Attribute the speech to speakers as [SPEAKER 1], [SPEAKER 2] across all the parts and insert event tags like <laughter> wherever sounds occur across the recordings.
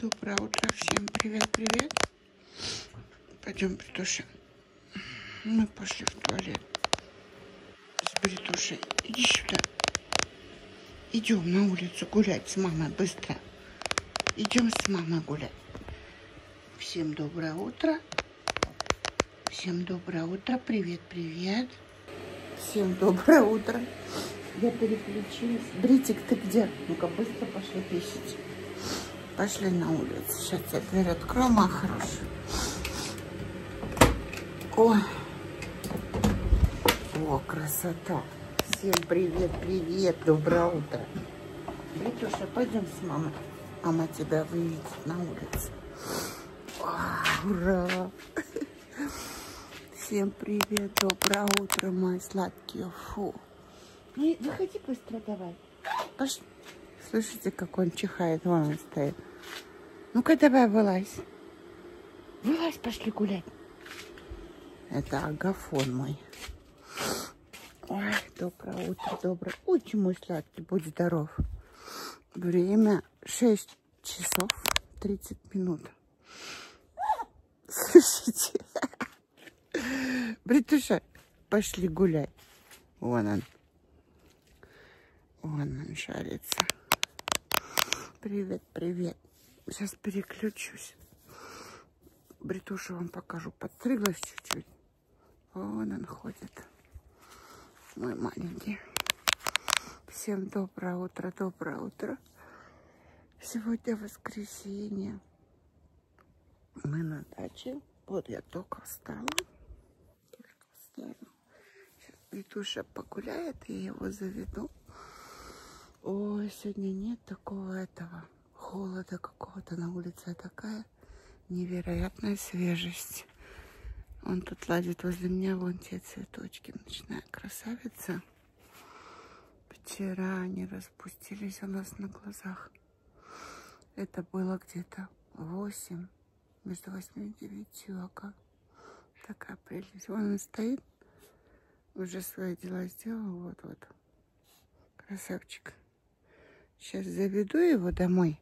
[SPEAKER 1] Доброе утро всем. Привет, привет. Пойдем притушим. Мы пошли в туалет. С притушей. Иди сюда. Идем на улицу гулять с мамой быстро. Идем с мамой гулять. Всем доброе утро. Всем доброе утро. Привет, привет. Всем доброе утро. Я переключилась. Бритик, ты где? Ну-ка, быстро пошли пищить. Пошли на улицу. Сейчас я дверь открою, моя хорошая. Ой. О, красота. Всем привет, привет, доброе утро. Витюша, пойдем с мамой. Мама тебя вынесет на улицу. О, а, ура! Всем привет, доброе утро, мои сладкие, фу. Не, выходи быстро давай. Пош... Слышите, как он чихает, вон он стоит. Ну-ка давай вылазь. Вылазь, пошли гулять. Это агафон мой. Ой, доброе утро, доброе. Очень мой сладкий, будь здоров. Время 6 часов 30 минут. Слышите? Бритуша, пошли гулять. Вон он. Вон он шарится. Привет, привет. Сейчас переключусь. Бритуша вам покажу. Подстрыглась чуть-чуть. Вон он ходит. Мой маленький. Всем доброе утро, доброе утро. Сегодня воскресенье. Мы на даче. Вот я только встала. Только встала. Сейчас Витуша погуляет, и я его заведу. Ой, сегодня нет такого этого холода какого-то на улице. Такая невероятная свежесть. Он тут ладит возле меня, вон те цветочки. Ночная красавица. Вчера они распустились у нас на глазах. Это было где-то 8, между 8 и 9 ока. А Такая прелесть. Вон он стоит, уже свои дела сделал, вот-вот. Красавчик. Сейчас заведу его домой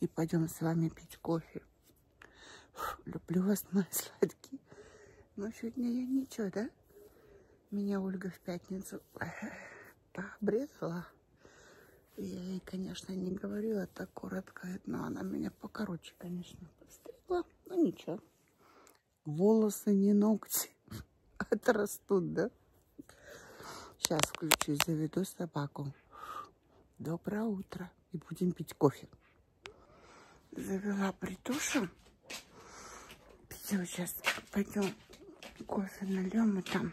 [SPEAKER 1] и пойдем с вами пить кофе. Фу, люблю вас, мои сладкие. Но ну, сегодня я ничего, да? Меня Ольга в пятницу пообрезала. Я ей, конечно, не говорила так коротко, но она меня покороче, конечно, подстригла. Но ну, ничего. Волосы не ногти. <laughs> Отрастут, да? Сейчас включу и заведу собаку. Доброе утро. И будем пить кофе завела притушу. Сейчас пойдем кофе нальем и там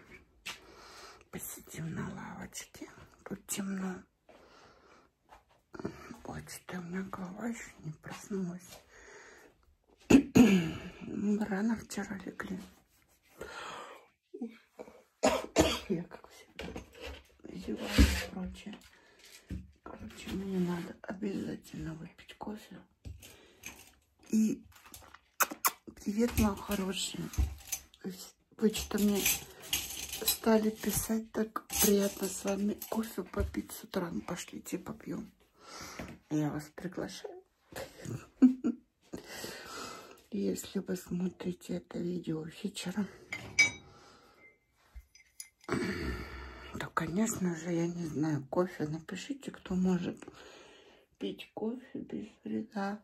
[SPEAKER 1] посидим на лавочке. Тут темно. Ой, что а у меня голова еще не проснулась. Мы рано вчера легли. Я как всегда зеваю и прочее. Короче, мне надо обязательно выпить кофе. И привет, моя хорошая. Вы что мне стали писать, так приятно с вами кофе попить с утра. Ну, пошлите, попьем. Я вас приглашаю. <laughs> Если вы смотрите это видео вечером, да, конечно же, я не знаю, кофе. Напишите, кто может пить кофе без вреда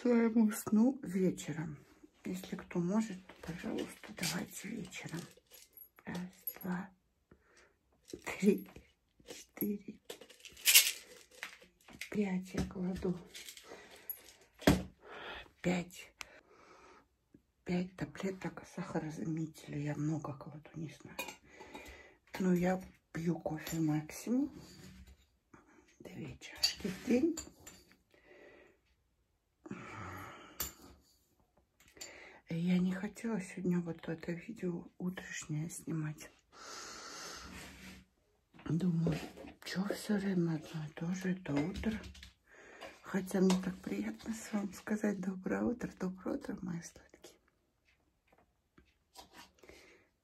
[SPEAKER 1] своему сну вечером. Если кто может, то, пожалуйста, давайте вечером. Раз, два, три, четыре, пять я кладу. Пять. 5 таблеток сахарозаменителя. Я много кладу, не знаю. Но я пью кофе максимум. Две чашки в день. Я не хотела сегодня вот это видео утреннее снимать. Думаю, что все время одно и то же, это утро. Хотя мне так приятно с вами сказать доброе утро. Доброе утро, мои сладкие.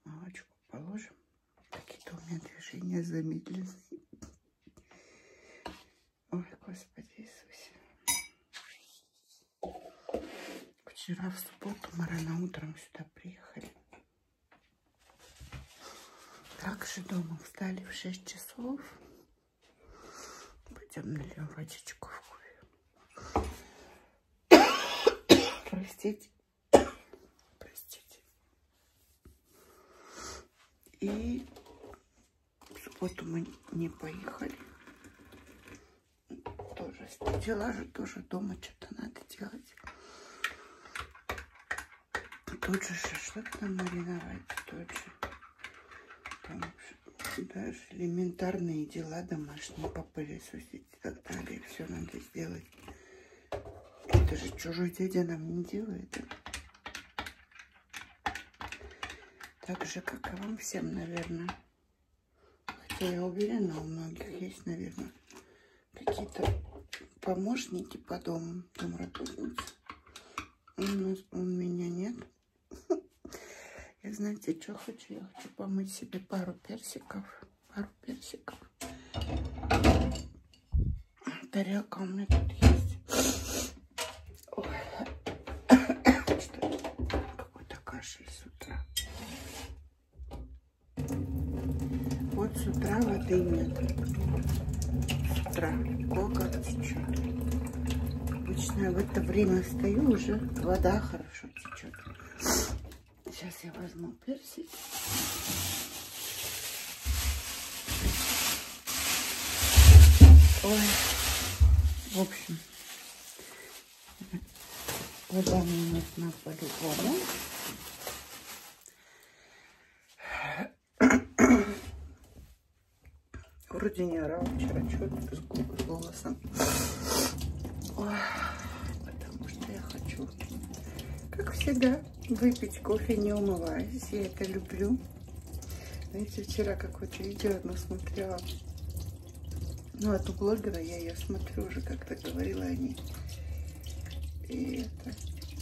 [SPEAKER 1] Молочку положим. Какие-то у меня движения замедленные. Ой, Господи Иисусе. Вчера в субботу мы рано утром сюда приехали. Также дома встали в 6 часов. Пойдем нальем водичку в кофе. Простите. Простите. И в субботу мы не поехали. Тоже дела же тоже дома что-то надо делать. Тот же шашлык нам мариновать, тот же. Там даже элементарные дела домашние попылесосить и так далее. Все надо сделать. Это же чужой дядя нам не делает. Так же, как и вам всем, наверное. Хотя я уверена, у многих есть, наверное, какие-то помощники по дому, домработницы у, нас, у меня нет. <laughs> Я знаете, что хочу? Я хочу помыть себе пару персиков. Пару персиков. Тарелка у меня тут есть. <coughs> Что Какой-то кашель с утра. Вот с утра воды нет. С утра. Кока течет. Обычно в это время стою, уже вода хорошо течет. Сейчас я возьму персик. Ой, в общем, вода мне нужна по-любому. Вроде не орал вчера, что-то с, с голосом. Ой, потому что я хочу, как всегда, выпить кофе не умываясь. Я это люблю. Знаете, вчера какое-то видео одно смотрела. Ну, от блогера я ее смотрю уже, как-то говорила о ней. И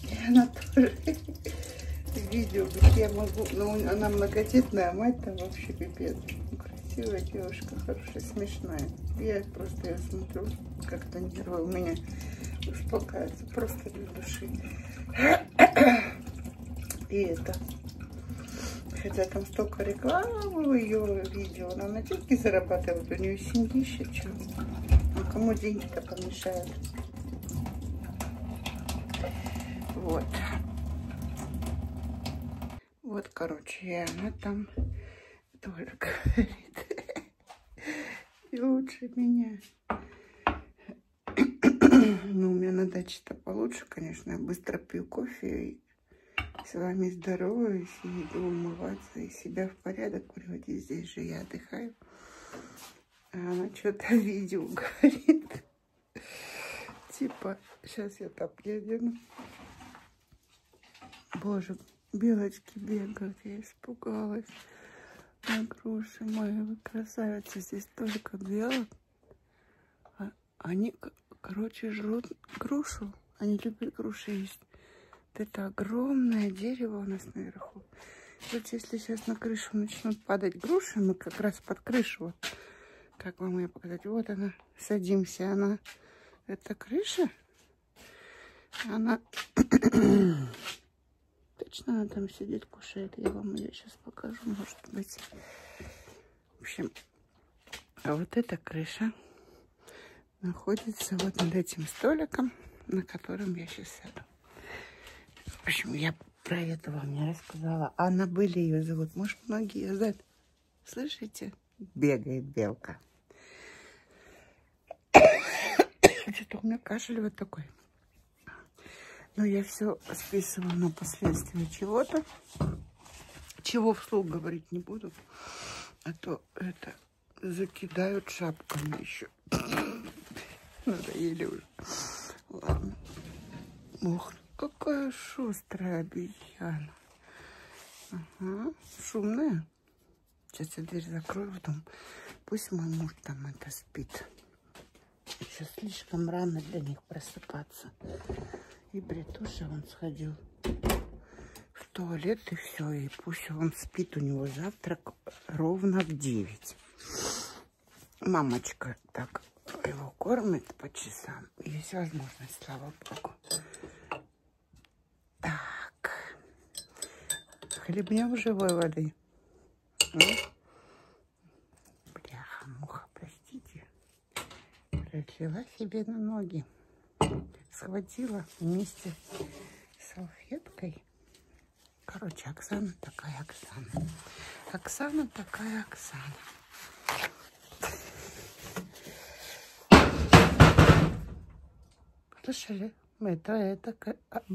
[SPEAKER 1] и она тоже <laughs> видео, где я могу... Ну, она многодетная, а мать там вообще пипец. Ну, красивая девушка, хорошая, смешная. Я просто я смотрю, как-то нервы у меня успокаиваются. Просто для души. <clears throat> И это... Хотя там столько рекламы в ее видео. Она на деньги зарабатывает. У нее семь тысяч. А кому деньги-то помешают? Вот. Вот, короче, она там тоже <laughs> говорит. И лучше меня. <clears throat> Ну, у меня на даче-то получше, конечно. Я быстро пью кофе и с вами здороваюсь, и иду умываться, и себя в порядок приводить. Здесь же я отдыхаю. Она что-то <laughs> видео говорит. Типа, сейчас я там не одену. Боже, белочки бегают, я испугалась. На груши мои, вы красавицы, здесь только белок. А, они, короче, жрут грушу. Они любят груши есть. Вот это огромное дерево у нас наверху крышу. Вот если сейчас на крышу начнут падать груши, мы как раз под крышу, вот, как вам ее показать, вот она, садимся, она, это крыша, она, <coughs> точно она там сидит, кушает, я вам ее сейчас покажу, может быть. В общем, а вот эта крыша находится вот над этим столиком, на котором я сейчас сяду. В общем, я про это вам не рассказала. Аннабель ее зовут. Может, многие знают. Слышите? Бегает белка. <coughs> Что-то у меня кашель вот такой. Но я все списываю на последствия чего-то. Чего вслух говорить не буду. А то это закидают шапками еще еще. <coughs> Надоели уже. Ладно. Ох, какая шустрая обезьяна. Ага, шумная. Сейчас я дверь закрою в дом. Пусть мой муж там это спит. Еще слишком рано для них просыпаться. И Бритуша он сходил в туалет и все. И пусть он спит, у него завтрак ровно в 9 мамочка так его кормит по часам. Есть возможность, слава богу. Так. Хлебнем живой воды. Бляха, муха, простите. Пролила себе на ноги. Схватила вместе с салфеткой Короче, Оксана такая Оксана. Оксана такая Оксана. Слышали? Это, это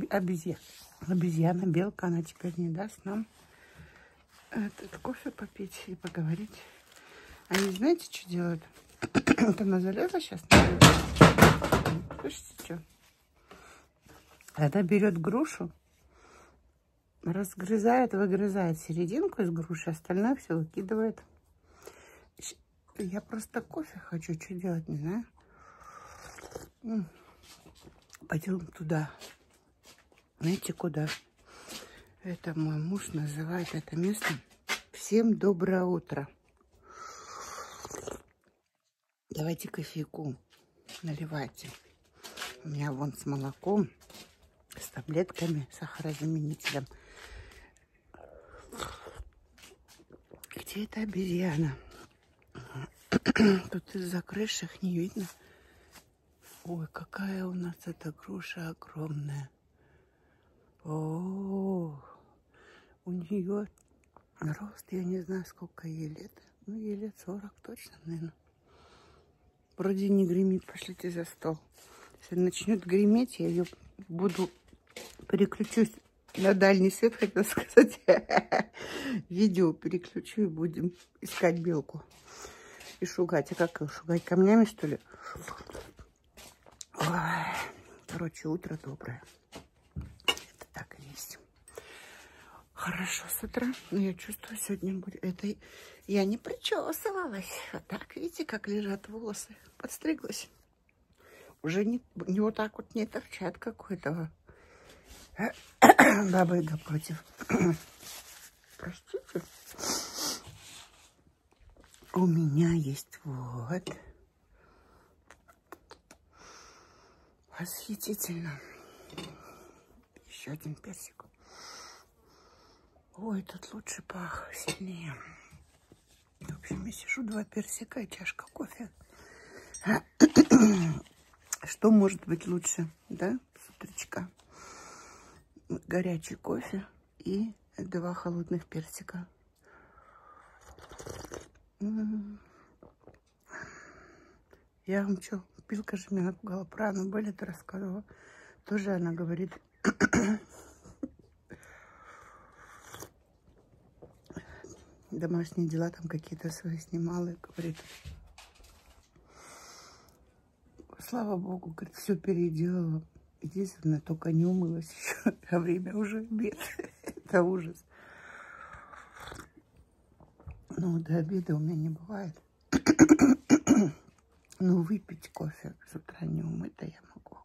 [SPEAKER 1] обезьяна. Обезьяна, белка, она теперь не даст нам этот кофе попить и поговорить. Они знаете, что делают? <clears throat> вот она залезла сейчас. Слышите, что? Она берет грушу, разгрызает, выгрызает серединку из груши, остальное все выкидывает. Я просто кофе хочу, что делать, не знаю. Пойдем туда. Знаете, куда? Это мой муж называет это место. Всем доброе утро. Давайте кофейку наливайте. У меня вон с молоком, с таблетками, сахарозаменителем. Где эта обезьяна? Тут из-за крыши их не видно. Ой, какая у нас эта груша огромная. О, -о, -о. у нее рост, я не знаю, сколько ей лет. Ну, ей лет 40 точно, наверное. Вроде не гремит. Пошлите за стол. Если начнет греметь, я ее буду... Переключусь на дальний свет, хотела сказать. <laughs> Видео переключу и будем искать белку. И шугать. А как ее шугать? Камнями, что ли? Ой. Короче, утро доброе. Это так и есть. Хорошо с утра. Но я чувствую, сегодня будет... Это я не причесывалась. Вот так, видите, как лежат волосы. Подстриглась. Уже не, не вот так вот не торчат какой-то <coughs> бабы напротив. <coughs> Простите. У меня есть вот Восхитительно. Еще один персик. Ой, тут лучше пах, сильнее. В общем, я сижу, два персика и чашка кофе. Что может быть лучше, да, с утречка? Горячий кофе и два холодных персика. Я вам что, Пилка же меня напугала. Про Анну Беллет рассказывала. Тоже она говорит. Домашние дела там какие-то свои снимала. И говорит, слава богу, говорит, все переделала. Единственное, только не умылась еще. А время уже обед. <laughs> Это ужас. Ну, до обеда у меня не бывает. <coughs> Ну, выпить кофе с утра не умыто я могу.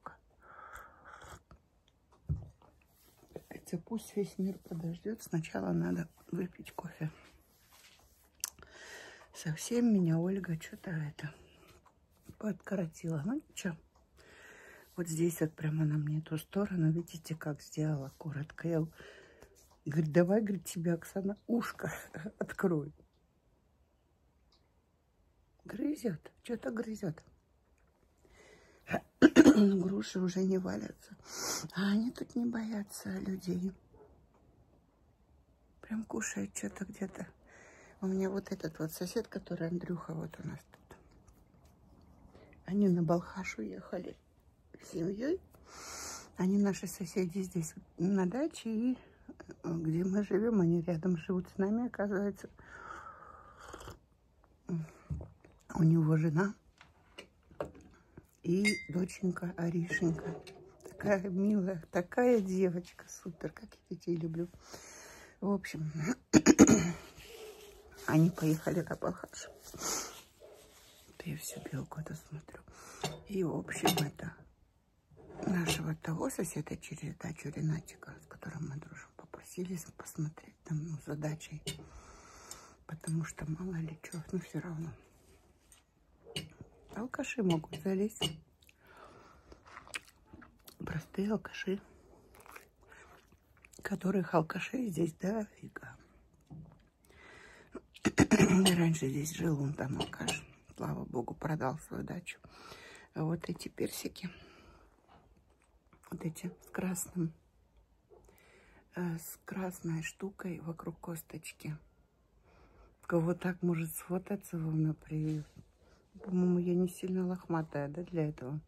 [SPEAKER 1] Хотя а пусть весь мир подождет. Сначала надо выпить кофе. Совсем меня Ольга что-то это подкоротила. Ну, ничего. Вот здесь вот прямо она мне ту сторону, видите, как сделала коротко. Я говорит, давай, говорит, тебе, Оксана, ушко <laughs> открою. Грызет, что-то грызет. <clears throat> Груши уже не валятся. А они тут не боятся людей. Прям кушают что-то где-то. У меня вот этот вот сосед, который Андрюха, вот у нас тут. Они на Балхаш уехали с семьей. Они наши соседи здесь на даче, и э, где мы живем, они рядом живут с нами, оказывается. У него жена и доченька Аришенька. Такая милая, такая девочка, супер, как я детей люблю. В общем, они поехали на Балхаш. Я всю белку это смотрю. И, в общем, это нашего того соседа через дачу Ренатика, с которым мы дружим, попросили посмотреть там, ну, задачей. Потому что мало ли чего, но ну, все равно. Алкаши могут залезть. Простые алкаши которых алкашей здесь дофига. <clears throat> И раньше здесь жил он там алкаш. Слава богу, продал свою дачу. А вот эти персики, вот эти с красным, э, с красной штукой вокруг косточки. Кого так может сфотаться вам на приют? По-моему, я не сильно лохматая, да, для этого?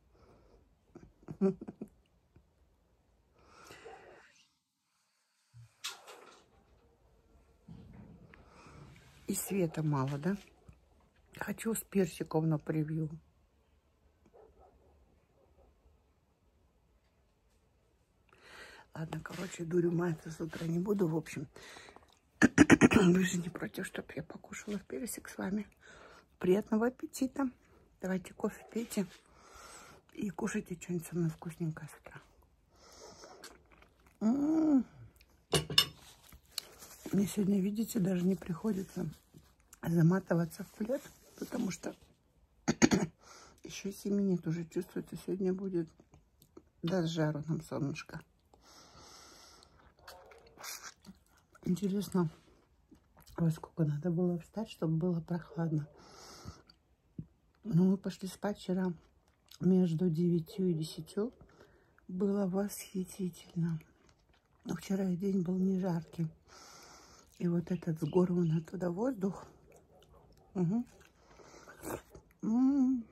[SPEAKER 1] И света мало, да? Хочу с персиков на превью. Ладно, короче, дурю мать с утра не буду. В общем, <clears throat> вы же не против, чтобы я покушала персик с вами. Приятного аппетита. Давайте кофе пейте и кушайте что-нибудь со мной вкусненькое с утра. М м-м. -м -м. Мне сегодня, видите, даже не приходится заматываться в плед, потому что еще 7 минут уже чувствуется. Сегодня будет даст жару нам солнышко. Интересно, во сколько надо было встать, чтобы было прохладно. Но ну, мы пошли спать вчера между 9 и 10. Было восхитительно. Но вчера день был не жаркий. И вот этот с гор вон оттуда воздух. Угу. М -м -м.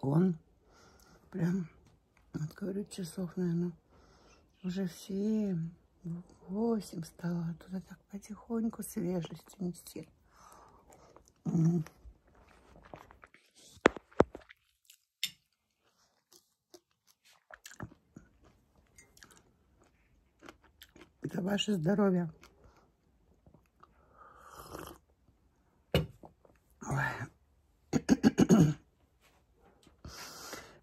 [SPEAKER 1] Он прям вот говорю, часов, наверное, уже все восемь стало, а туда так потихоньку свежесть нести. Угу. Это ваше здоровье. Ой.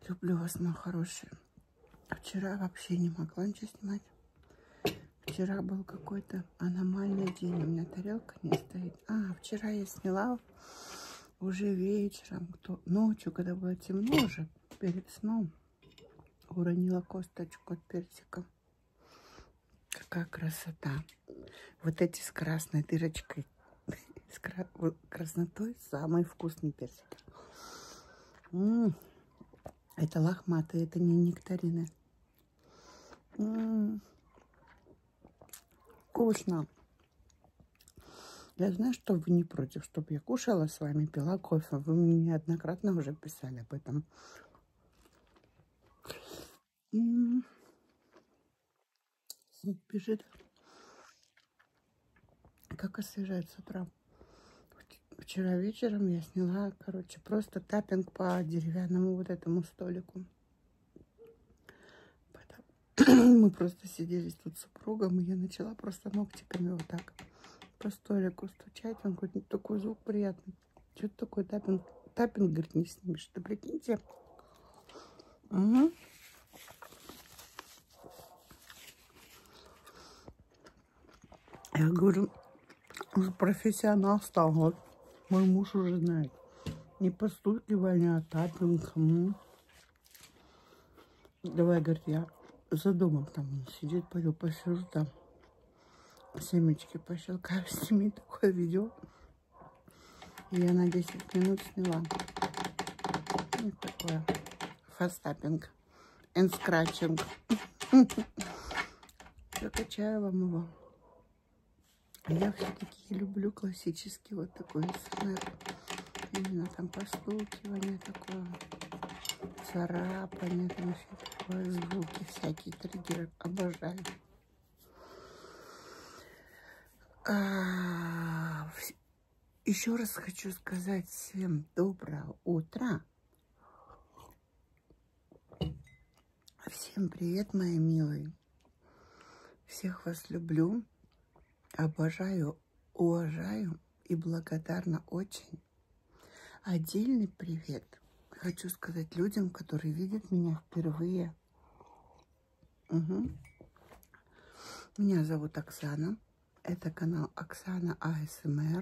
[SPEAKER 1] Люблю вас, мои хорошие. Вчера вообще не могла ничего снимать. Вчера был какой-то аномальный день. У меня тарелка не стоит. А, вчера я сняла уже вечером, кто ночью, когда было темно уже, перед сном, уронила косточку от персика. Какая красота. Вот эти с красной дырочкой, с краснотой самые вкусные персики. М -м это лохматые, это не нектарины. М вкусно. Я знаю, что вы не против, чтобы я кушала с вами, пила кофе. Вы мне неоднократно уже писали об этом. Вот бежит. Как освежает с утра. Вчера вечером я сняла, короче, просто тапинг по деревянному вот этому столику. <clears throat> Мы просто сидели тут с супругом, и я начала просто ногтиками вот так по столику стучать. Он говорит, такой звук приятный. Что-то такое тапинг? Тапинг, говорит, не снимешь. Да прикиньте, Угу. Я говорю, уже ну, профессионал стал. Вот мой муж уже знает. Не постукивание, а тапинг. Угу. Давай, говорит, я за домом там сидит, пойду посижу там. Семечки пощелкаю, <laughs> сними такое видео. Я на 10 минут сняла. Вот ну, такое. Фастаппинг. And scratching. Прокачаю <laughs> вам его. Я все-таки люблю классический вот такой СМР. Именно там постукивание такое, царапание, там все такое, звуки всякие триггеры. Обожаю. А, Еще раз хочу сказать всем доброе утро. Всем привет, мои милые. Всех вас люблю, обожаю, уважаю и благодарна очень. Отдельный привет хочу сказать людям, которые видят меня впервые. Угу. Меня зовут Оксана. Это канал Оксана АСМР.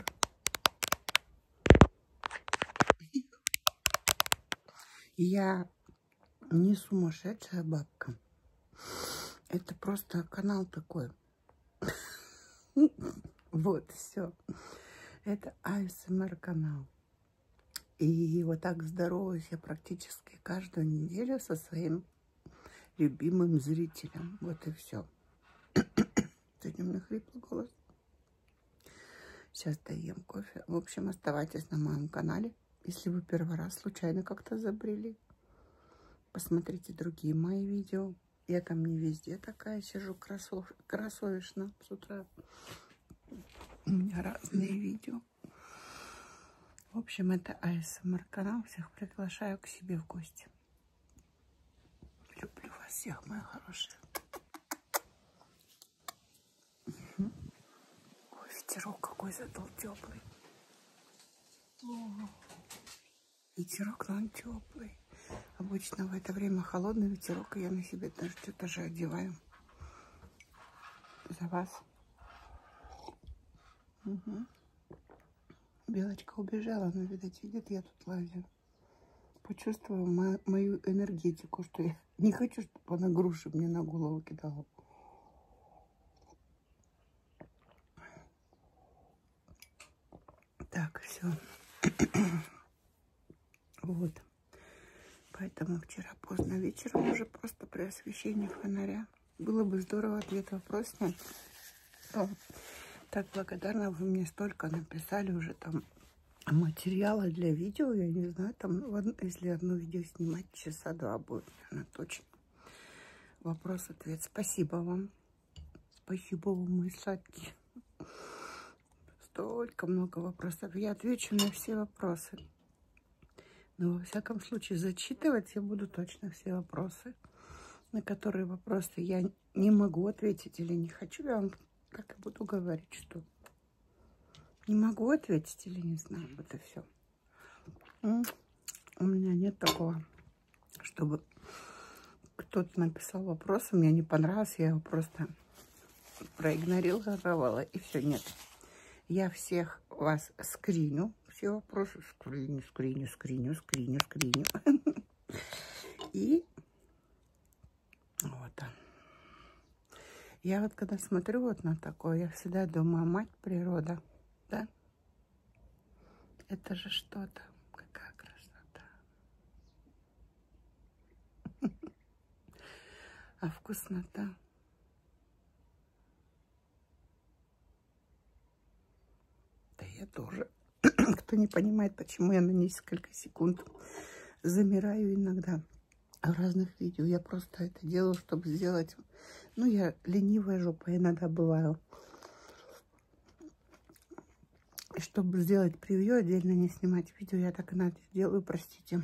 [SPEAKER 1] Я не сумасшедшая бабка. Это просто канал такой. <laughs> Вот, все. Это АСМР канал. И вот так здороваюсь я практически каждую неделю со своим любимым зрителем. Вот и все. <coughs> Сегодня у меня хриплый голос. Сейчас доем кофе. В общем, оставайтесь на моем канале. Если вы первый раз случайно как-то забрели, посмотрите другие мои видео. Я там не везде такая сижу красов... красовишно с утра. У меня разные видео. YouTube. В общем, это АСМР канал. Всех приглашаю к себе в гости. Люблю вас всех, мои хорошие. Угу. Ой, ветерок какой задал теплый. О, ветерок, но он теплый. Обычно в это время холодный ветерок, и я на себе даже что-то же одеваю за вас. Угу. Белочка убежала, но, видать, видит, я тут лазю. Почувствовала мо мою энергетику, что я <laughs> не хочу, чтобы она груши мне на голову кидала. Так, все. <clears throat> вот. Поэтому вчера поздно вечером уже просто при освещении фонаря. Было бы здорово ответ вопрос снять. О, так благодарна, вы мне столько написали уже там материала для видео. Я не знаю, там, если одно видео снимать, часа два будет, наверное, точно. Вопрос-ответ. Спасибо вам. Спасибо вам, мои сладкие. Столько много вопросов. Я отвечу на все вопросы. Но, во всяком случае, зачитывать я буду точно все вопросы, на которые вопросы я не могу ответить или не хочу. Я вам так и буду говорить, что не могу ответить или не знаю. Вот и все. У меня нет такого, чтобы кто-то написал вопрос, мне не понравился, я его просто проигнорировала, и все, нет. Я всех вас скриню, все вопросы скриню, скриню, скриню, скриню, скриню. И вот он. Я вот когда смотрю вот на такое, я всегда думаю, мать природа, да? Это же что-то, какая красота. <laughs> А вкуснота. Да я тоже. <clears throat> Кто не понимает, почему я на несколько секунд замираю иногда в разных видео. Я просто это делаю, чтобы сделать... Ну, я ленивая жопа иногда бываю. И чтобы сделать превью, отдельно не снимать видео, я так иногда делаю, простите.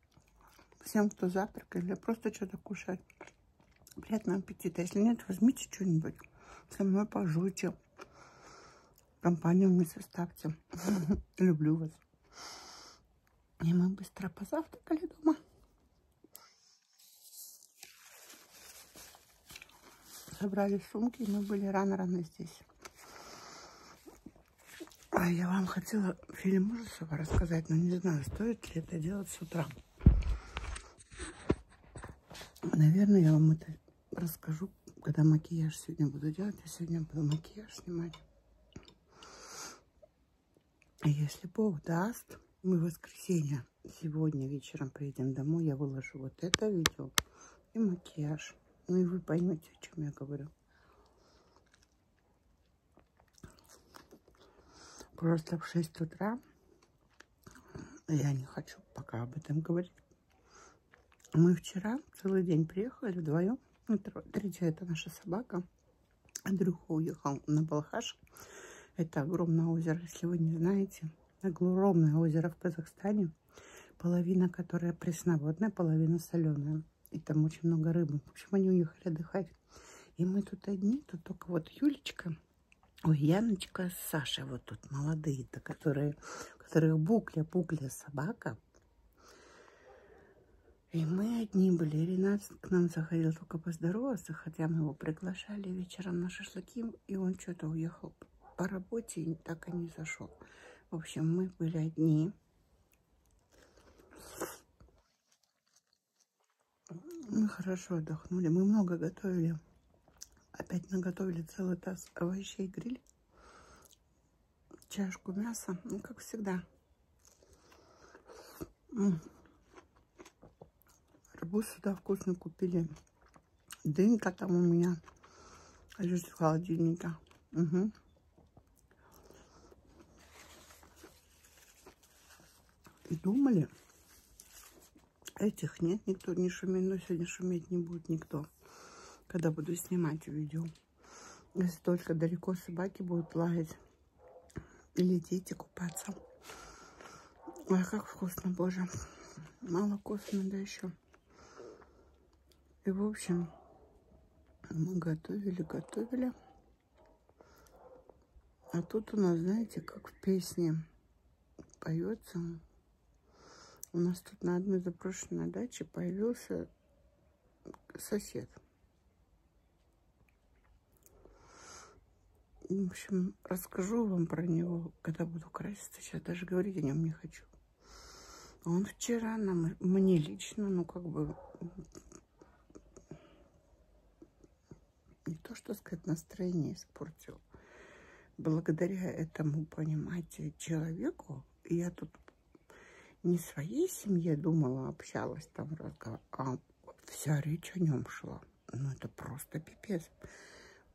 [SPEAKER 1] всем, кто завтракает или просто что-то кушает. Приятного аппетита. Если нет, возьмите что-нибудь. Со мной пожуйте. Компанию мне составьте. <laughs> Люблю вас. И мы быстро позавтракали дома. Собрали сумки, и мы были рано-рано здесь. А я вам хотела хотела фильм ужасов рассказать, но не знаю, стоит ли это делать с утра. Наверное, я вам это расскажу, когда макияж сегодня буду делать. Я сегодня буду макияж снимать. Если Бог даст, мы в воскресенье сегодня вечером приедем домой, я выложу вот это видео и макияж. Ну и вы поймете, о чем я говорю. Просто в 6 утра я не хочу пока об этом говорить. Мы вчера целый день приехали вдвоем. Ну, третья это наша собака. Андрюха уехал на Балхаш. Это огромное озеро, если вы не знаете. Огромное озеро в Казахстане. Половина, которая пресноводная, половина соленая. И там очень много рыбы. В общем, они уехали отдыхать. И мы тут одни, тут только вот Юлечка, ой, Яночка с Сашей, вот тут молодые-то, которые, которых букля-букля собака. И мы одни были. Ренат к нам заходил только поздороваться, хотя мы его приглашали вечером на шашлыки, и он что-то уехал по работе и так и не зашел. В общем, мы были одни. Мы хорошо отдохнули. Мы много готовили. Опять наготовили целый таз овощей гриль. Чашку мяса. Ну, как всегда. Арбуз сюда вкусно купили. Дынька там у меня лежит в холодильнике. Угу и думали. Этих нет, никто не шумит, но сегодня шуметь не будет никто, когда буду снимать видео. Если только далеко собаки будут лаять или дети купаться. Ой, как вкусно, боже. Мало кофе надо еще. И, в общем, мы готовили, готовили. А тут у нас, знаете, как в песне поется. У нас тут на одной заброшенной даче появился сосед. В общем, расскажу вам про него, когда буду краситься. Сейчас даже говорить о нем не хочу. Он вчера нам, мне лично, ну как бы не то, что сказать, настроение испортил. Благодаря этому, понимаете, человеку, я тут не своей семье думала, общалась там, а вся речь о нем шла. Ну, это просто пипец.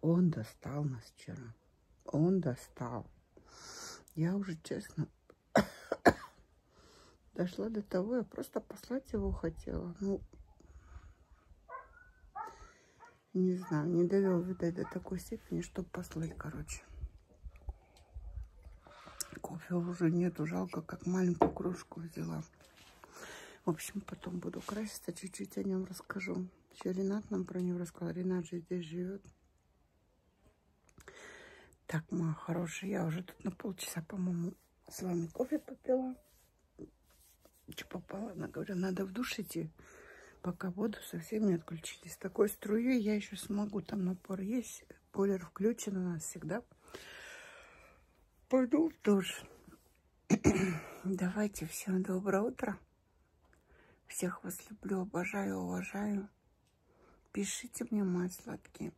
[SPEAKER 1] Он достал нас вчера. Он достал. Я уже, честно, Дошла до того, я просто послать его хотела. Ну, не знаю, не довел, видать, до такой степени, чтобы послать, короче. Кофе уже нету, жалко, как маленькую кружку взяла. В общем, потом буду краситься, чуть-чуть о нем расскажу. Еще Ренат нам про него рассказал. Ренат же здесь живет. Так, моя хорошая, я уже тут на полчаса, по-моему, с вами кофе попила. Что попало? Она говорит, надо в душ идти, пока воду совсем не отключили. С такой струей я еще смогу. Там напор есть. Бойлер включен у нас всегда. Пойду в душ. <clears throat> Давайте всем доброе утро. Всех вас люблю, обожаю, уважаю. Пишите мне, мои сладкие.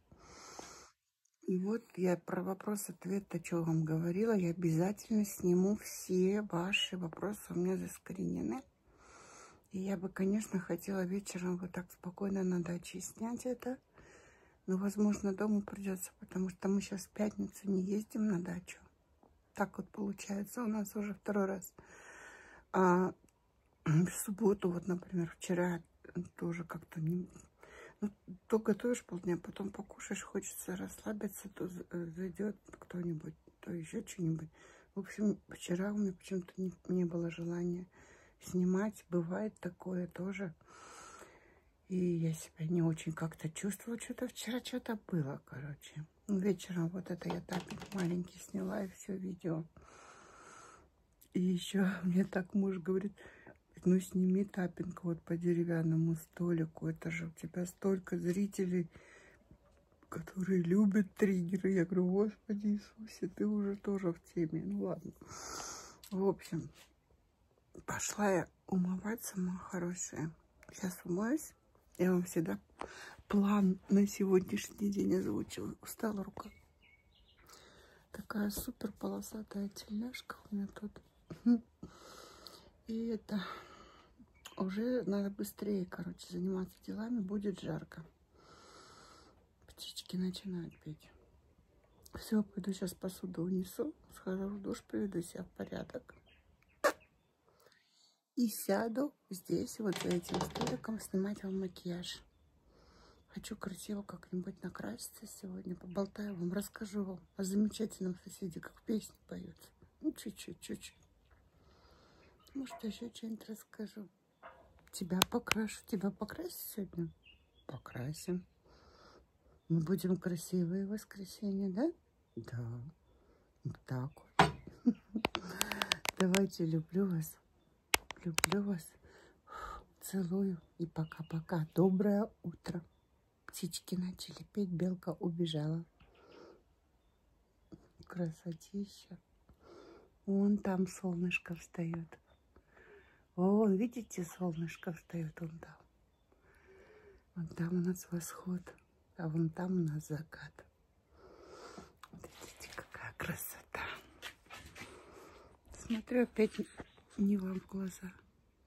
[SPEAKER 1] И вот я про вопрос-ответ, о чем вам говорила. Я обязательно сниму все ваши вопросы. У меня заскоренены. И я бы, конечно, хотела вечером вот так спокойно на даче снять это. Но, возможно, дома придется, потому что мы сейчас в пятницу не ездим на дачу. Так вот получается у нас уже второй раз. А <clears throat> в субботу, вот, например, вчера тоже как-то не, ну, то готовишь полдня, потом покушаешь, хочется расслабиться, то э, зайдет кто-нибудь, то еще что-нибудь. В общем, вчера у меня почему-то не, не было желания снимать. Бывает такое тоже. И я себя не очень как-то чувствовала. Что-то вчера что-то было, короче. Вечером вот это я так маленький сняла и все видео. И еще <laughs> мне так муж говорит, ну сними тапинг вот по деревянному столику, это же у тебя столько зрителей, которые любят триггеры. Я говорю, господи Иисусе, ты уже тоже в теме, ну ладно. В общем, пошла я умываться, моя хорошая. Сейчас умоюсь. Я вам всегда план на сегодняшний день озвучила. Устала рука. Такая супер полосатая тельняшка у меня тут. И это уже надо быстрее, короче, заниматься делами. Будет жарко. Птички начинают петь. Все, пойду сейчас посуду унесу. Схожу в душ, приведу себя в порядок. И сяду здесь, вот за этим столиком, снимать вам макияж. Хочу красиво как-нибудь накраситься сегодня, поболтаю вам, расскажу вам о замечательном соседе, как песня поется. Ну, чуть-чуть, чуть-чуть. Может, еще что-нибудь расскажу. Тебя покрашу. Тебя покрасить сегодня? Покрасим. Мы будем красивые в воскресенье, да? Да. Вот так вот. <laughs> Давайте, люблю вас. Люблю вас. Целую и пока-пока. Доброе утро. Птички начали петь, белка убежала. Красотища. Вон там солнышко встает. Вон, видите, солнышко встает вон там. Вон там у нас восход, а вон там у нас закат. Вот видите, какая красота. Смотрю, опять не вам в глаза.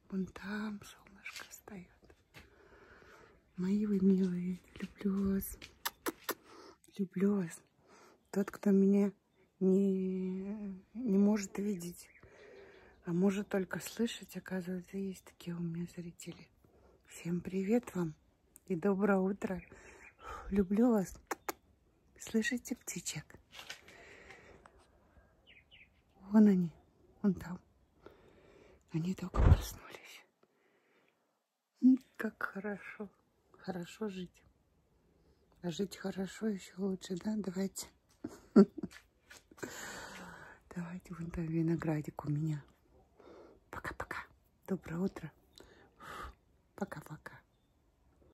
[SPEAKER 1] Вон там солнышко встает. Мои вы милые, люблю вас. Люблю вас. Тот, кто меня не, не может видеть, а может только слышать, оказывается, есть такие у меня зрители. Всем привет вам и доброе утро. Люблю вас. Слышите птичек? Вон они, вон там. Они только проснулись. Как хорошо. Хорошо жить. А жить хорошо еще лучше, да? Давайте. <laughs> Давайте вон там виноградик у меня. Пока-пока. Доброе утро. Пока-пока.